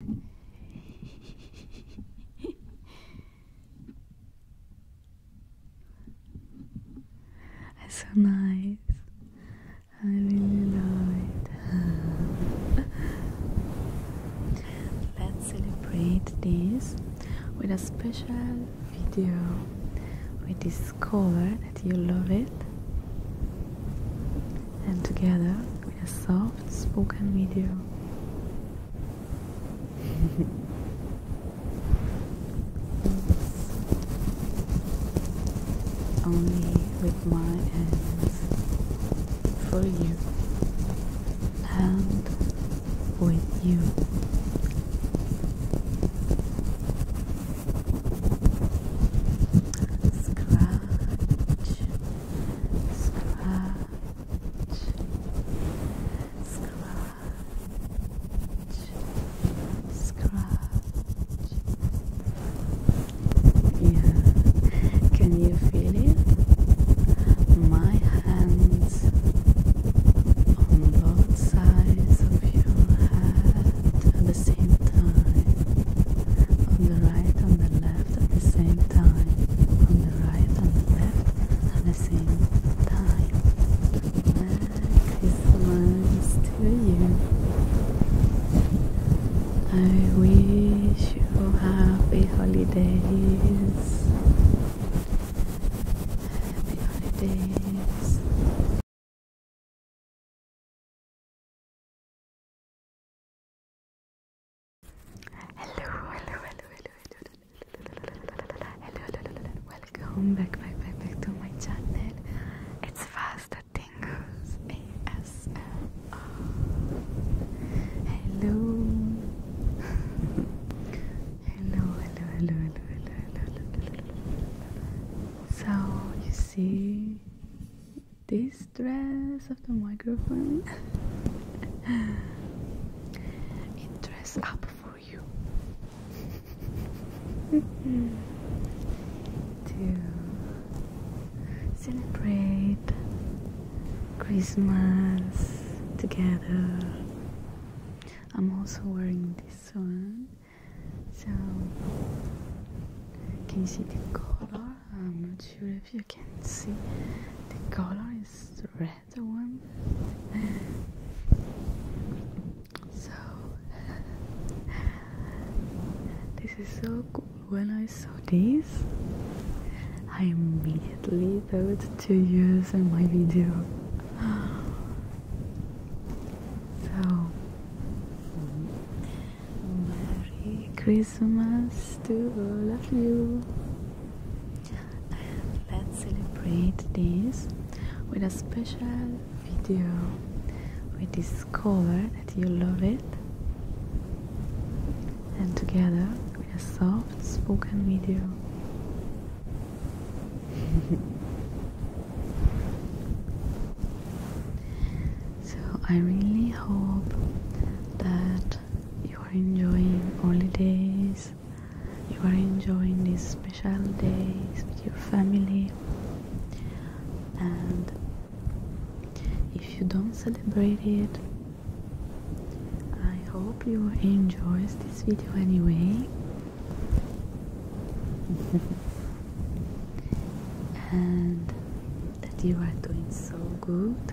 It's so nice. I really love it. Let's celebrate this with a special video. We discover that you love it and together with a soft spoken video. Only with my hands for you and with you. Scratch Scratch. Scratch. Scratch. Yeah. Can you feel it? My hands on both sides of your head at the same time. On the right, on the left at the same time, on the right and the left at the same time. Merry Christmas to you. I wish you happy holidays. Happy holidays. Hello, hello, hello, hello, hello, hello, hello, welcome back, back, back, back to my channel. It's Fast Tingles ASMR. Hello. hello, hello, hello, hello, hello, hello, hello. So you see, this dress of the microphone. dress up for you to celebrate Christmas together. I'm also wearing this one, so can you see the color? I'm not sure if you can see. The color is red one. So this is so cool. When I saw this, I immediately thought to use in my video. So Merry Christmas to all of you. And let's celebrate this with a special video. We discover that you love it. And together with a soft spoken video. So I really hope that you are enjoying holidays, you are enjoying these special days with your family, and if you don't celebrate it, I hope you enjoy this video anyway. and that you are doing so good.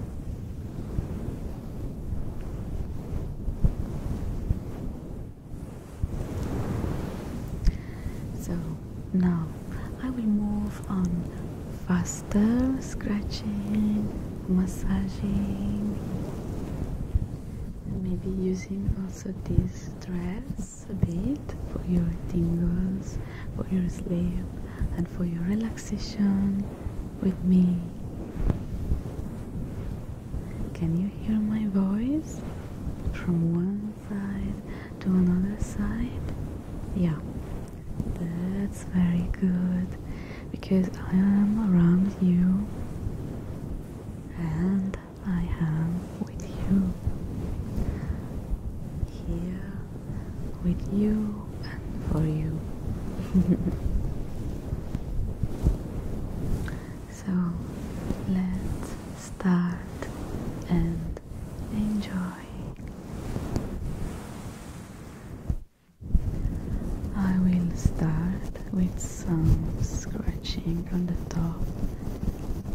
So now I will move on faster scratching, massaging, maybe using also these threads a bit for your tingles, for your sleep, and for your relaxation with me. Can you hear my voice from one side to another side? Yeah, that's very good because I am around you and I am with you, here with you and for you. so let's start and enjoy. I will start with some scratching on the top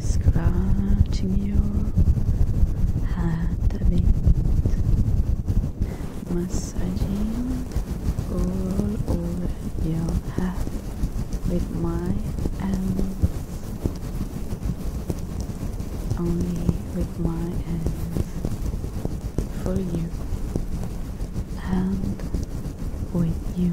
Scratching your head a bit, massaging all over your head with my hands, only with my hands for you and with you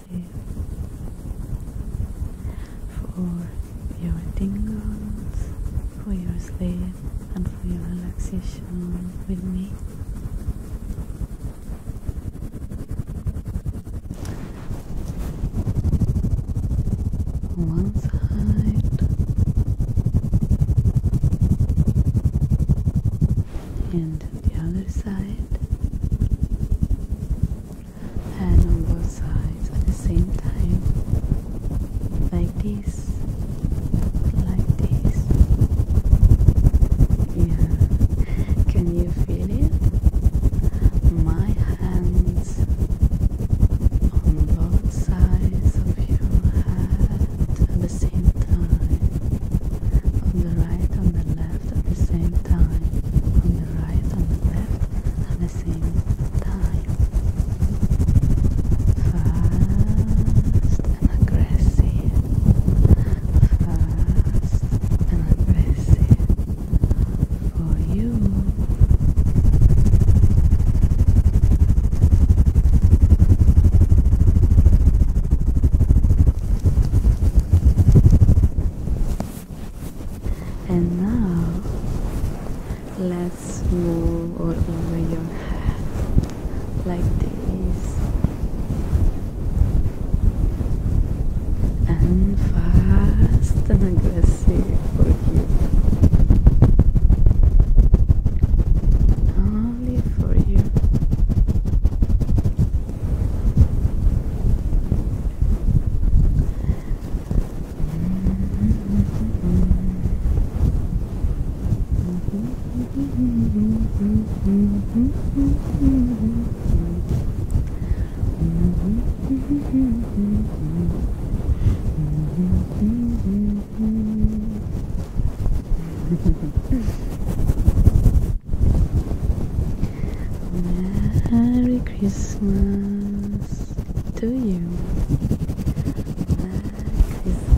for your tingles, for your sleep, and for your relaxation with me. One side and the other side and on both sides at the same time like this like this yeah can you feel it my hands on both sides of your head at the same time on the right on the left at the same time, on the right, on left at the same time. Fast and aggressive. Fast and aggressive for you. And now let's move all over your head like this and fast and aggressive for you. Ah, only for you. Merry Christmas to you.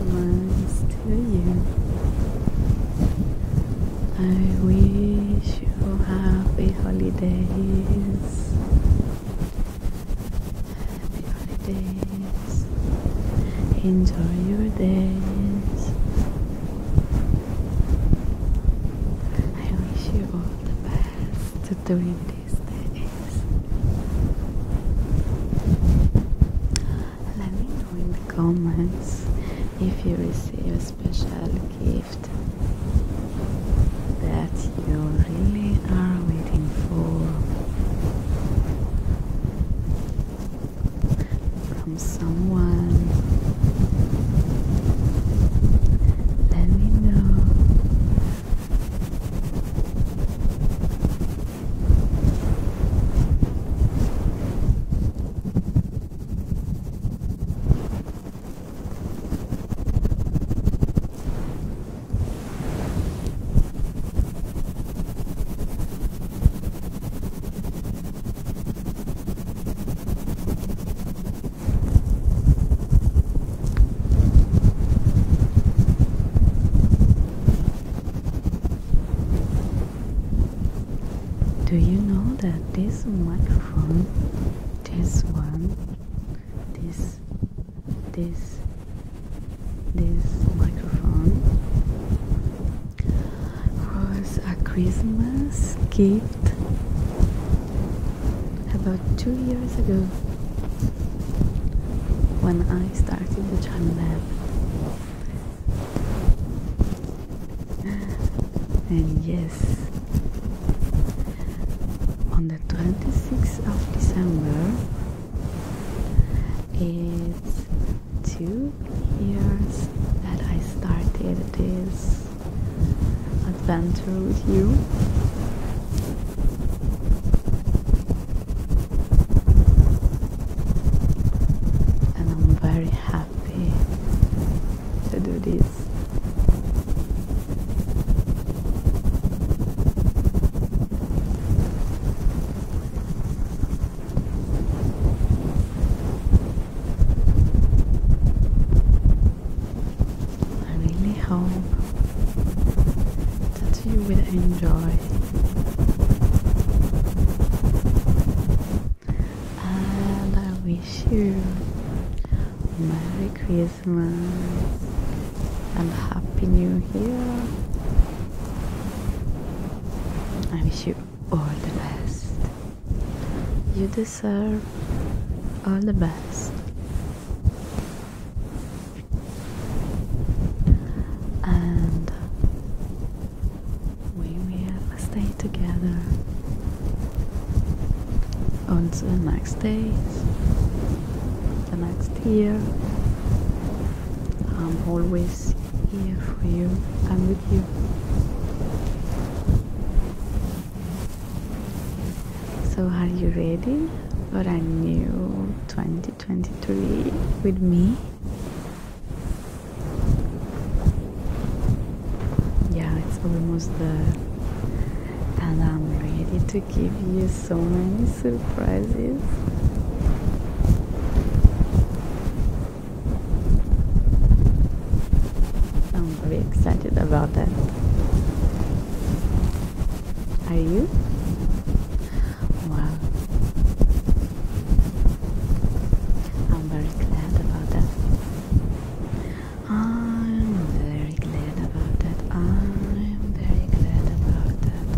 Merry Christmas to you. I wish you happy holidays. Happy holidays. Enjoy your days. I wish you all the best to doing these days. Let me know in the comments if you receive a special gift that you really are waiting for from someone. Let me know. Do you know that this microphone, this one, this, this, this microphone was a Christmas gift about two years ago when I started the Chime Lab. And yes, on the 26th of December it's two years that I started this adventure with you. And I'm very happy to do this. I really hope that you will enjoy and I wish you Merry Christmas and Happy New Year I wish you all the best. You deserve all the best. And we will stay together until next days the next year. I'm always here for you I'm with you. So, are you ready for a new 2023 with me? Yeah, it's almost the, and I'm ready to give you so many surprises. I'm very excited about that. Are you? Wow. I'm very glad about that. I'm very glad about that. I'm very glad about that.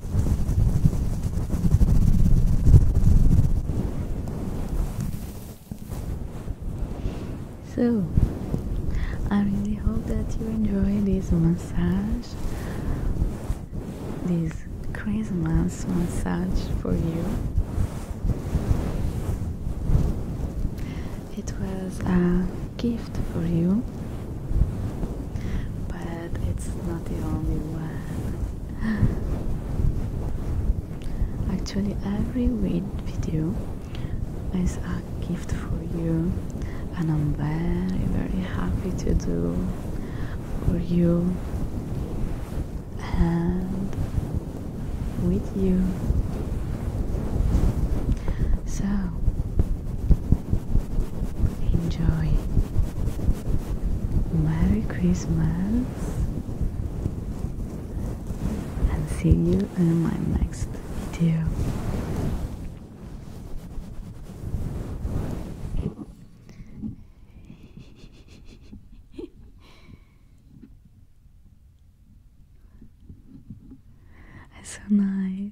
So, I really hope that you enjoy this massage, this Christmas massage for you. It was a gift for you, but said it's not the only one. Actually, every video is a gift for you, and I'm very, very happy to do for you and with you. So, Enjoy. Merry Christmas and see you in my next video. It's so nice.